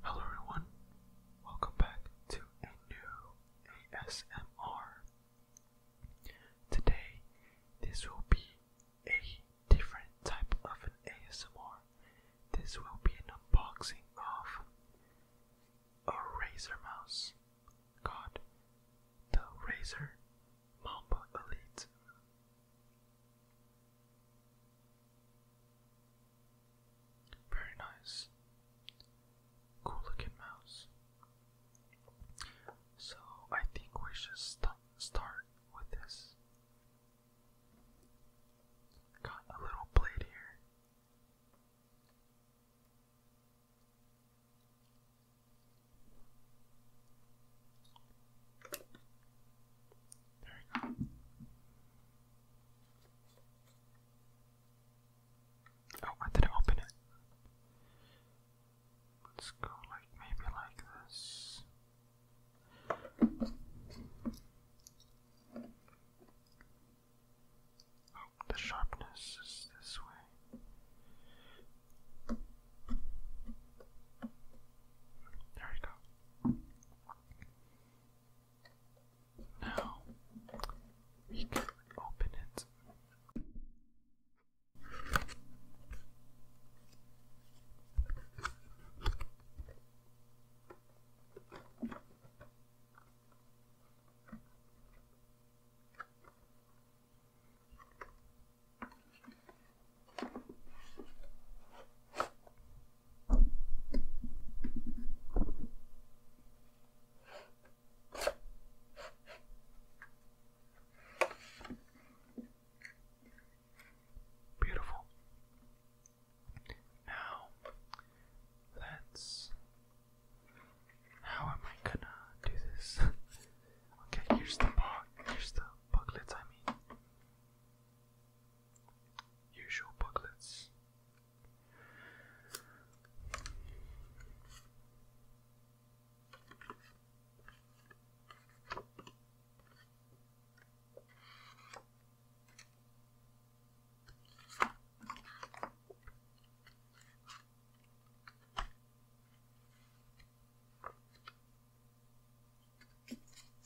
Hello everyone, welcome back to a new ASMR. Today, this will be a different type of an ASMR. This will be an unboxing of a Razer mouse called the Razer Mamba Elite. Very nice. Cool looking mouse. So I think we should start with this. Got a little blade here. There we go. Oh, I didn't open it. Let's go like maybe like this. Oh, the sharpness is this way. There we go. Now we can open it. Beautiful. Now, that's. How am I gonna do this? Okay, here's the book. Here's the booklets. I mean, usual booklets.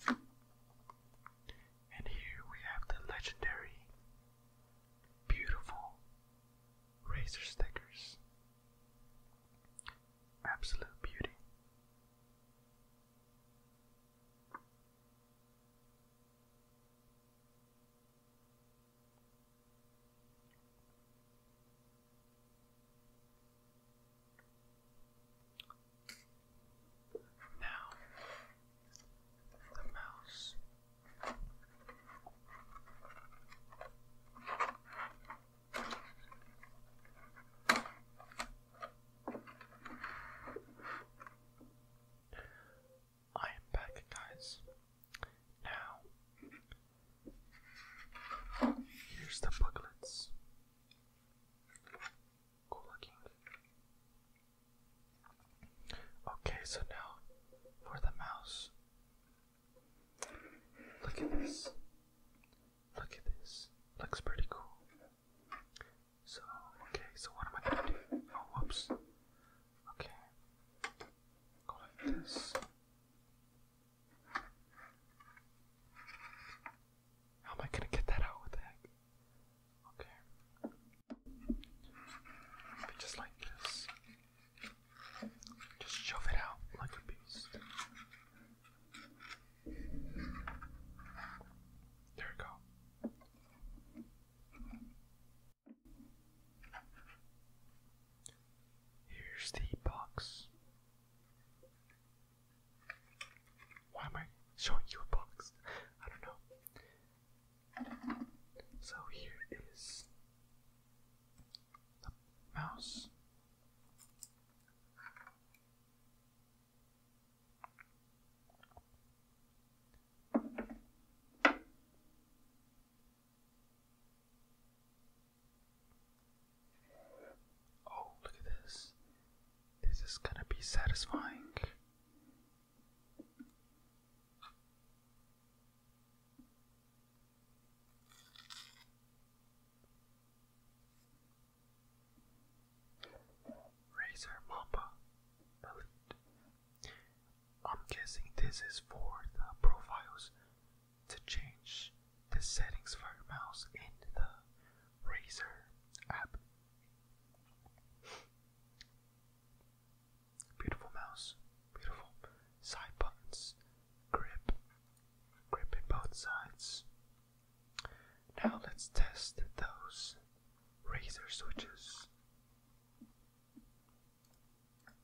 And here we have the legendary, beautiful razor stickers. Absolute beauty. Now, the mouse. I am back, guys. Now, Here's the booklets. Cool looking. Okay, so now for the mouse. Look at this. Look at this. Looks pretty cool. So, okay, so what am I gonna do? Oh, whoops. Okay. Go like this. How am I gonna get that out? With the heck? Okay. just like this. Just shove it out like a beast. There we go. Here's the box. Why am I showing you a box? I don't know. So here is the mouse. Oh, look at this. This is gonna be satisfying. Razor Mamba I'm guessing this is for the profiles to change the settings for mouse in the Razer app. Beautiful mouse, beautiful side buttons, grip, grip both sides. Now let's test those Razer switches.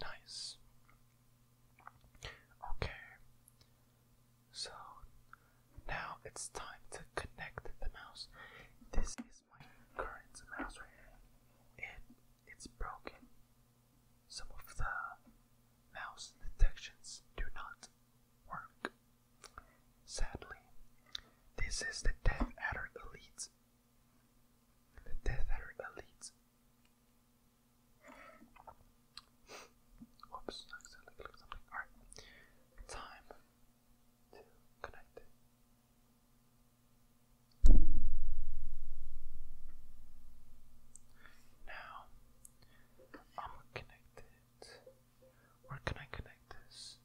Nice. Okay. So now it's time to connect the mouse. This is my current mouse right here. It it's broken. Some of the mouse detections do not work. Sadly, this is the Death Adder Elite. The Death Adder Elite Whoops, Alright. Time to connect Now I'm going Where can I connect this?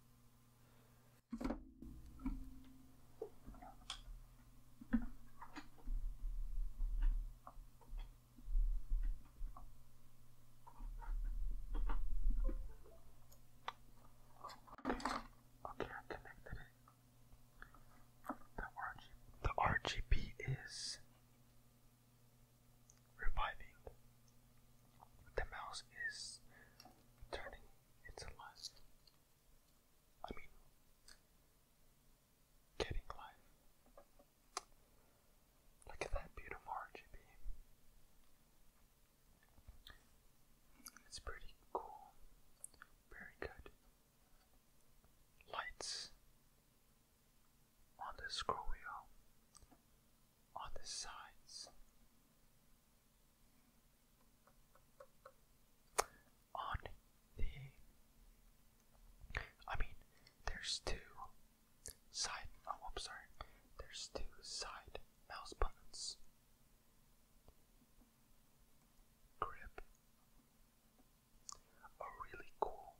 Okay, connected The, RGB is reviving. The mouse is turning its alive. I mean, getting life. Look at that beautiful RGB. It's pretty cool. Very good. Lights on the scroll wheel, on the sides, on the I mean, there's two side oh I'm sorry. There's two side mouse buttons. Grip a really cool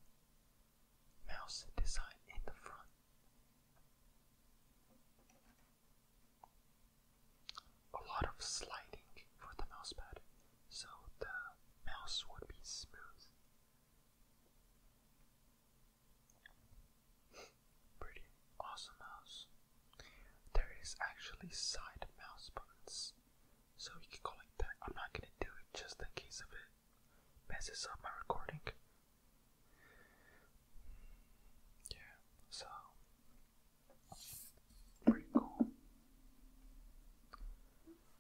mouse design in the front a lot of sliding for the mouse pad, so the mouse would be smooth. Pretty awesome mouse. There is actually side mouse buttons, so you can go like that. I'm not gonna do it just in case of it messes up my recording. Yeah, so Pretty cool.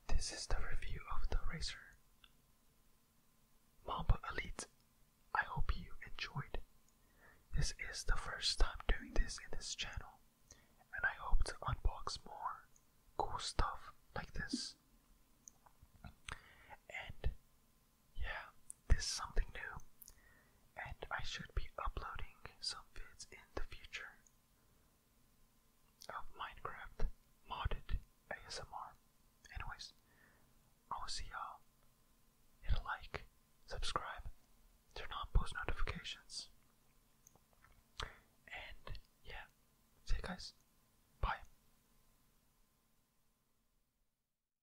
This is the review of the racer. Mamba Elite. I hope you enjoyed. This is the first time doing this in this channel, and I hope to unbox more cool stuff like this. And yeah, this is something new, and I should be uploading some vids in the future of Minecraft modded ASMR. Anyways, I will see y'all. Hit a like, subscribe, turn on post notifications, and yeah, see you guys. Bye.